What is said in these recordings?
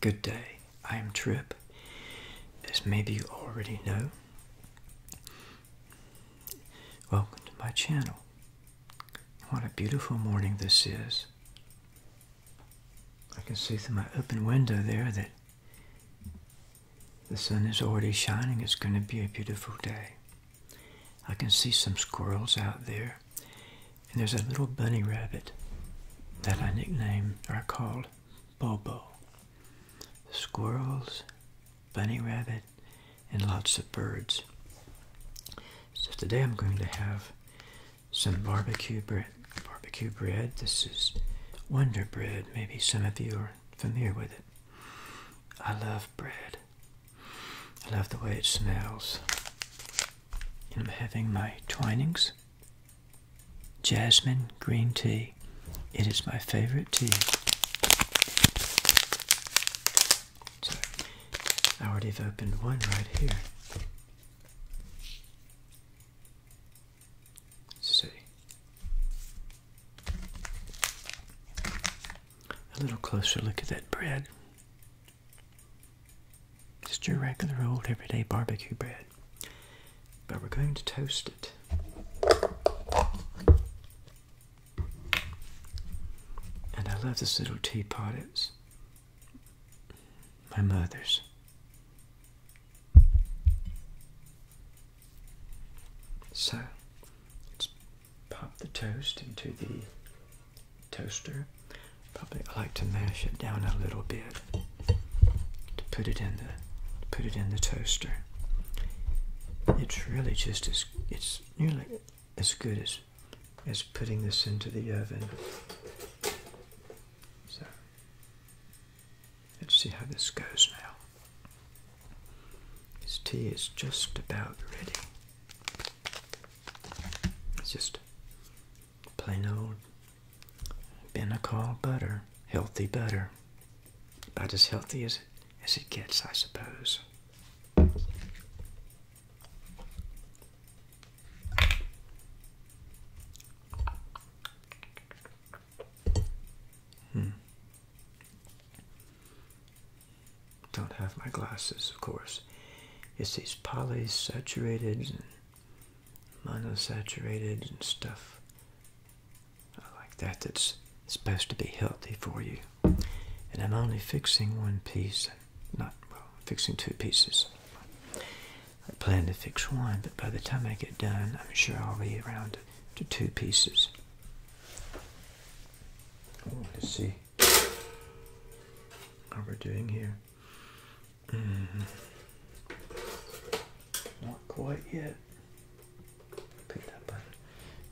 Good day, I am Trip. As maybe you already know, welcome to my channel. What a beautiful morning this is. I can see through my open window there that the sun is already shining. It's going to be a beautiful day. I can see some squirrels out there and there's a little bunny rabbit that I nicknamed or I called Bobo. Squirrels, bunny rabbit, and lots of birds. So today I'm going to have some barbecue bread. Barbecue bread. This is Wonder Bread. Maybe some of you are familiar with it. I love bread. I love the way it smells. I'm having my Twinings Jasmine Green Tea. It is my favorite tea. So, I already have opened one right here. see. A little closer look at that bread. Just your regular old everyday barbecue bread. But we're going to toast it. And I love this little teapot. It's my mother's. So, pop the toast into the toaster. Probably I like to mash it down a little bit to put it in the put it in the toaster. It's really just as it's nearly as good as as putting this into the oven. So let's see how this goes now. This tea is just about ready. It's just plain old Benicol butter, healthy butter, about as healthy as as it gets, I suppose. Hmm. Don't have my glasses, of course. It's these polysaturated monosaturated and stuff like that that's supposed to be healthy for you. And I'm only fixing one piece, not, well, fixing two pieces. I plan to fix one, but by the time I get done, I'm sure I'll be around to two pieces. Oh, let's see what we're doing here. Hmm. Not quite yet. Pick that button.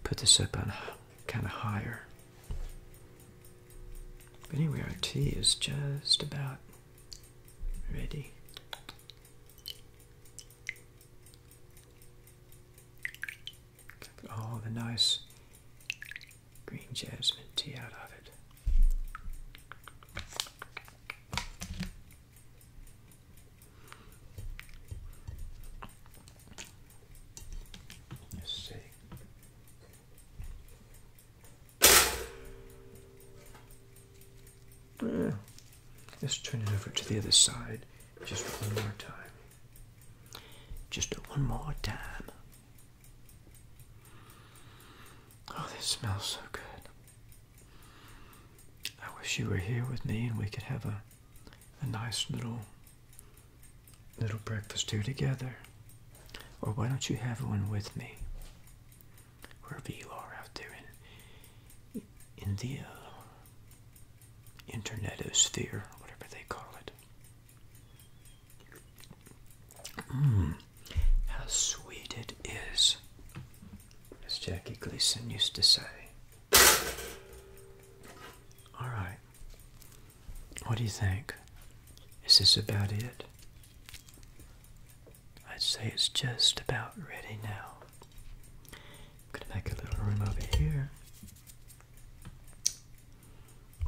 Put this up on kind of higher. But anyway, our tea is just about ready. All the nice green jasmine tea out of it. Let's see. Eh, let's turn it over to the other side just one more time. Just one more time. Oh, this smells so good. I wish you were here with me and we could have a a nice little little breakfast here together. Or why don't you have one with me? Wherever you are out there in in the uh, internetosphere, whatever they call it. Mm, how sweet it is, as Jackie Gleason used to say. All right. What do you think? Is this about it? I'd say it's just about ready now. I'm gonna make a little room over here.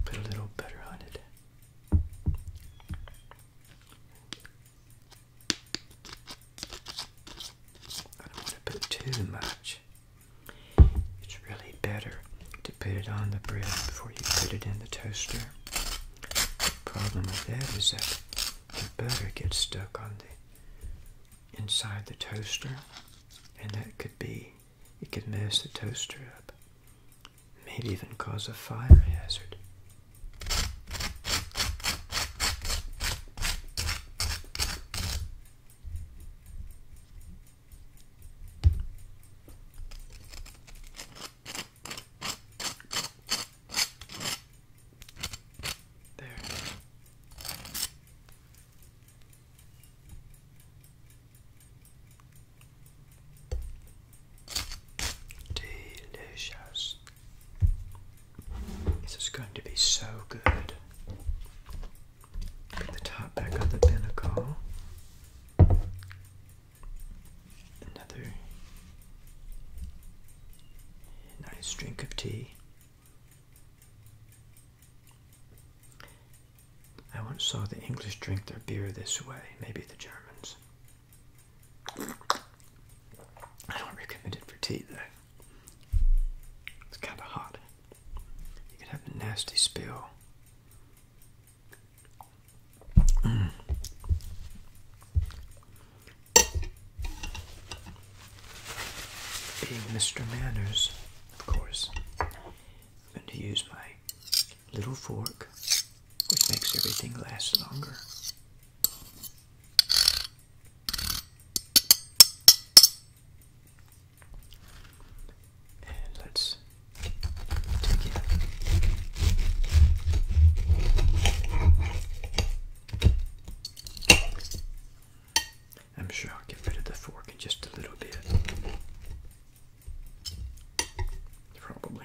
Put a little butter on it. I don't want to put too much. It's really better to put it on the bread before you put it in the toaster. problem with that is that the butter gets stuck on the inside the toaster and that could be it could mess the toaster up maybe even cause a fire hazard. There. Delicious. This is going to be so good. Put the top back on the pinnacle. Another nice drink of tea. I once saw the English drink their beer this way, maybe the Germans. I don't recommend it for tea though. It's kind of hot. You can have a nasty spill. Mm. Being Mr. Manners, of course, I'm going to use my little fork which makes everything last longer. And let's take it. I'm sure I'll get rid of the fork in just a little bit. Probably.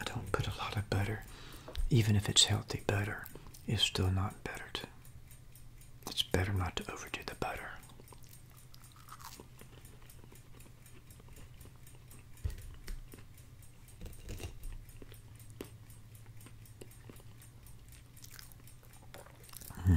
I don't put a lot of butter. Even if it's healthy butter, it's still not buttered. It's better not to overdo the butter. Hmm.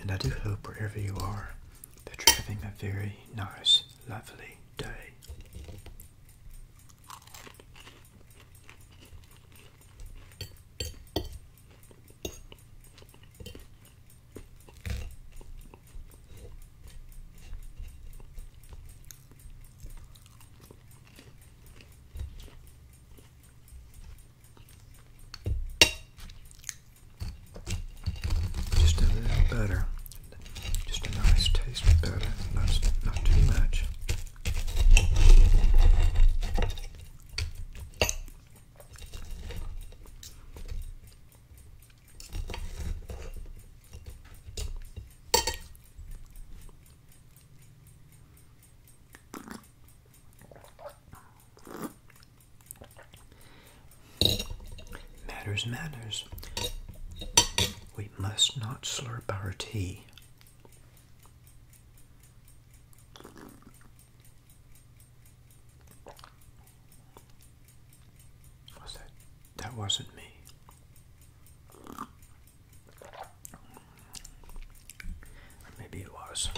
And I do hope wherever you are that you're having a very nice, lovely day. Just a little better. Just a nice taste of butter. not too much. Matters, matters. We must not slurp our tea. Was that? That wasn't me maybe it was.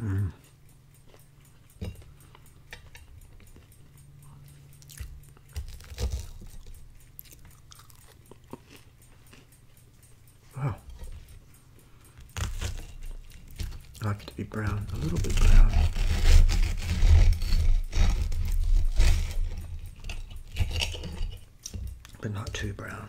Mm. I like it to be brown, a little bit brown. But not too brown.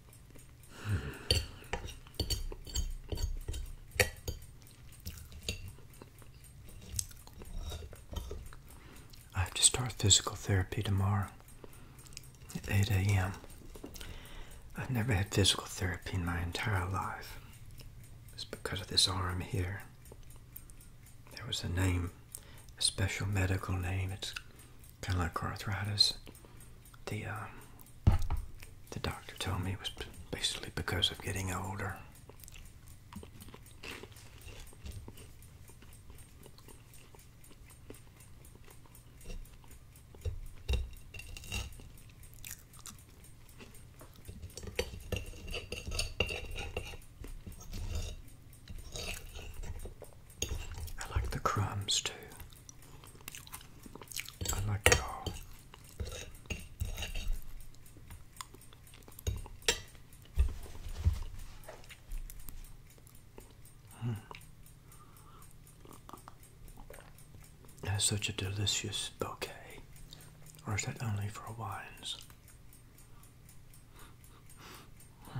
I have to start physical therapy tomorrow at 8 a.m. I've never had physical therapy in my entire life. It's because of this arm here. There was a name, a special medical name. It's kind of like arthritis. The uh, the doctor told me it was basically because of getting older. I like the crumbs too. I like it all. Mm. That's such a delicious bouquet. Or is that only for wines? Hmm.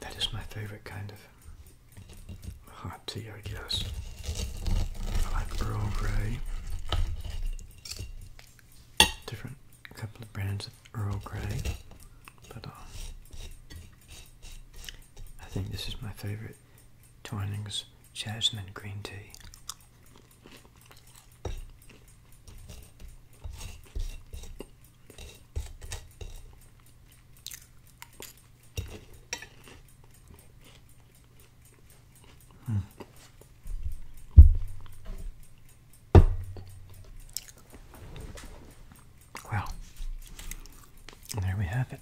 That is my favorite kind of hot tea, I guess. I like Earl Grey. Different couple of brands of Earl Grey, but uh, I think this is my favorite Twinings Jasmine Green Tea. Hmm. Well, there we have it.